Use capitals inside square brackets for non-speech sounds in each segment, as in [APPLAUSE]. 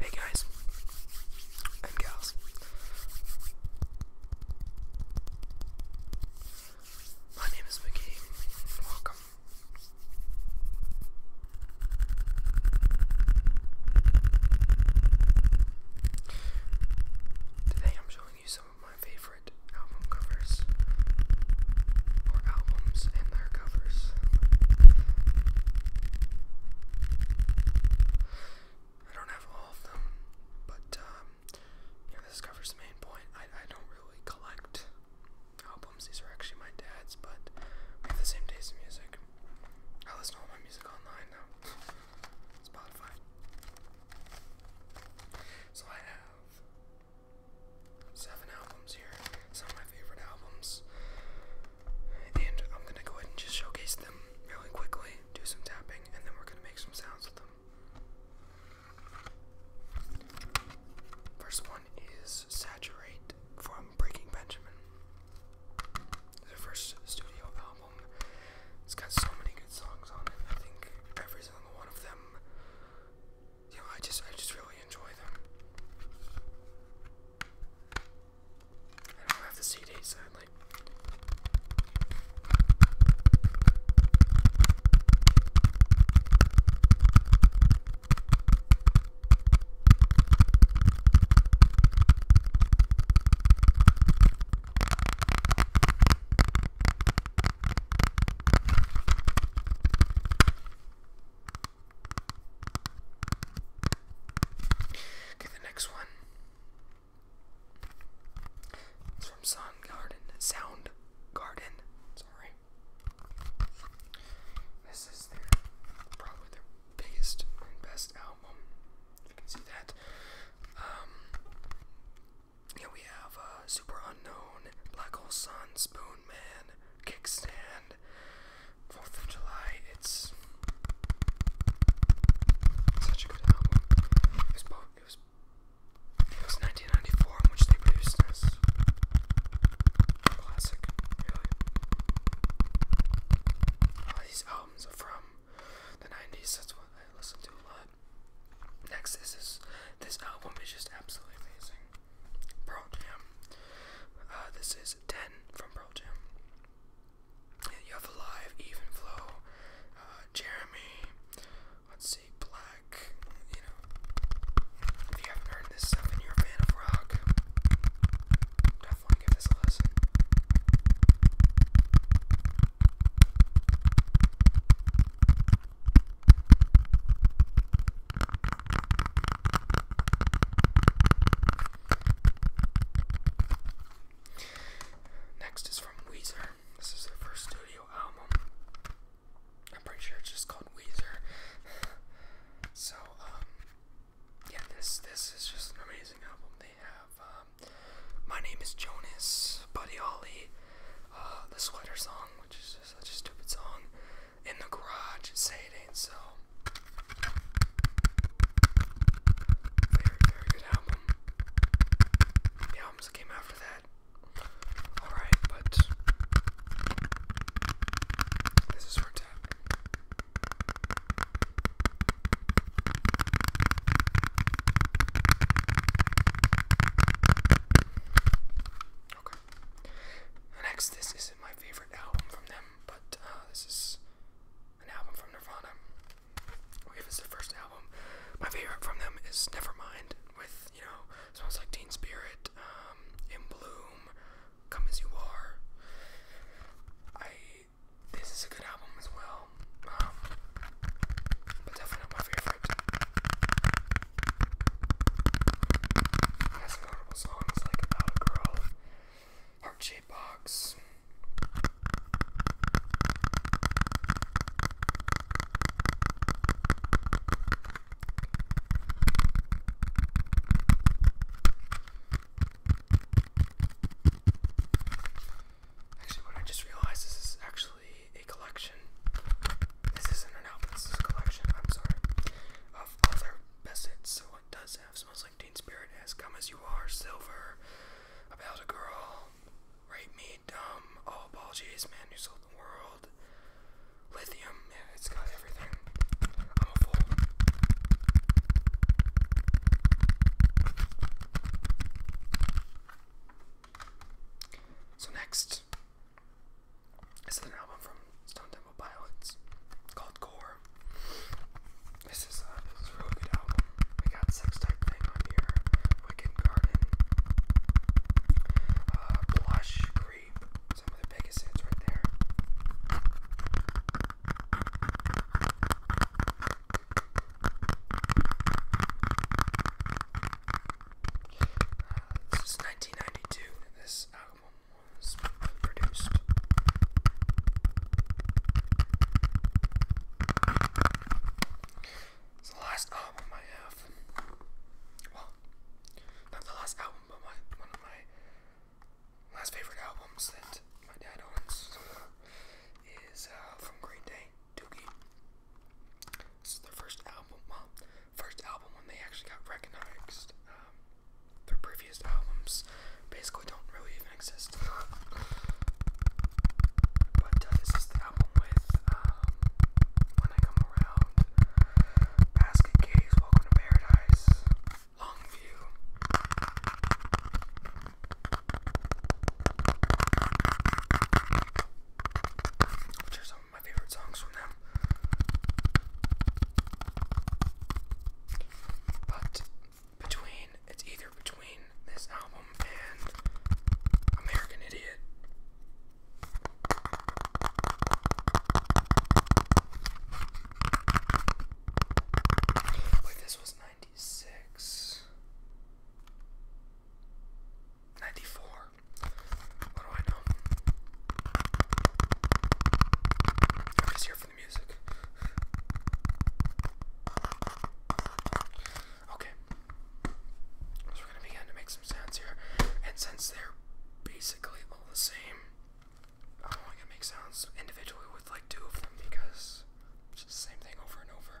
Hey guys and gals. My name is McGee. Welcome. Today I'm showing you some my favorite album covers or albums and their covers. I don't have all of them, but um, this covers the main point. I, I don't really collect albums, these are actually my dad's, but we have the same taste in music. I listen to all my music online now. Spotify. So I have seven albums here, some of my favorite albums, and I'm gonna go ahead and just showcase them really quickly, do some tapping, and then we're gonna make some sounds with them. First one is Saturate from Breaking Benjamin. Their first studio album. It's got so many good songs on it. I think every single one of them you know, I just I just really enjoy them. I don't have the CD sadly. Okay, the next one is from Sound Garden. Sound Garden. Sorry. This is their probably their biggest and best album. If you can see that. Um, here we have uh, Super Unknown, Black Hole Sun, Spoon Man, Kickstand, 4th of July. It's such a good album. It was, it was, it was 1994 in which they produced this. Classic, really. All these albums are from the 90s, that's what I listen to a lot. Next, this is this album is just absolutely amazing. Pearl Jam. Uh, this is Ten from Pearl Jam. You have Alive, Even uh, Jeremy. Let's see, Black. You know, if you haven't heard this stuff and you're a fan of rock, definitely give this a listen. Next is from Weezer. This is their first studio album. I'm pretty sure it's just called Weezer. [SIGHS] so, um, yeah, this this is just an amazing album. They have um, my name is Jonas Buddy Holly. Uh, the sweater song, which is such a stupid song. In the garage, say it ain't so. Very, very good album. The albums that came after that. Alright, but this is her tap. Okay. Next, this isn't my favorite album from them, but uh, this is an album from Nirvana. If it's the first album, my favorite from them is Nevermind, with you know, smells like Teen Spirit, um, In Bloom, Come as You Are. I. This is a good album as well. Um, but definitely my favorite. It has some notable like About a Girl, Heart Shape Box. Actually, what I just realized this is actually a collection. This isn't an album, this is a collection, I'm sorry, of other their So it does have Smells Like Teen Spirit, As Come As You Are, Silver, About a Girl, Rape Me, Dumb, All Apologies, Man you Sold the World, Lithium. Yeah, it's got everything. I'm a fool. So next is an album from Stone Temple Pilots called Core. This is, uh, this is a really good album. We got Sex Type Thing on here, Wicked Garden, uh, Blush, Creep, some of the biggest hits right there. This is 1992 and this album was produced. It's the last album I have. Well, not the last album, but one of my last favorite albums that my dad owns is uh, from Green Day. Doogie. This is their first album, well, first album when they actually got recognized. Um, their previous albums basically don't really even exist. [LAUGHS] but uh, this is the album with um, When I Come Around, Basket Case, Welcome to Paradise, Longview. Which are some of my favorite songs from them. But between, it's either between this album and American Idiot. Wait, this was 90. 96 What do I know? I'm just here for the music. Okay. we're gonna begin to make some sounds here. And since they're basically all the same, I'm only gonna make sounds individually with like two of them because it's just the same thing over and over.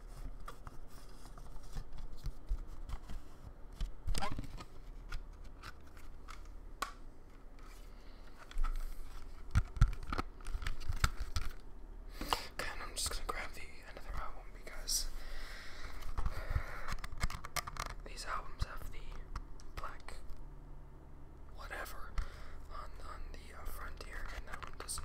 Okay, and I'm just gonna grab the another album because these albums have the black whatever on on the uh, front here, and that one doesn't.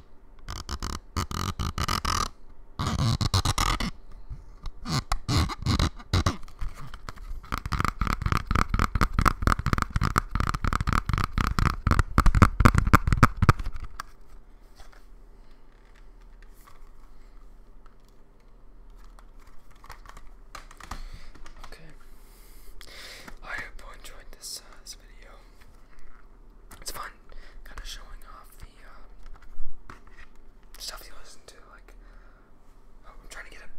Okay. I hope you enjoyed this uh, this video. It's fun kind of showing off the uh, stuff you listen to. Like, oh, I'm trying to get a,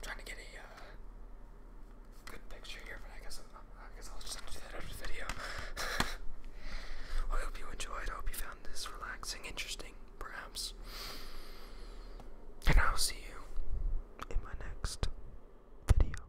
trying to get a uh, good picture here, but I guess i guess I'll just do that after the video. [LAUGHS] I hope you enjoyed. I hope you found this relaxing, interesting, perhaps. And I'll see you in my next video.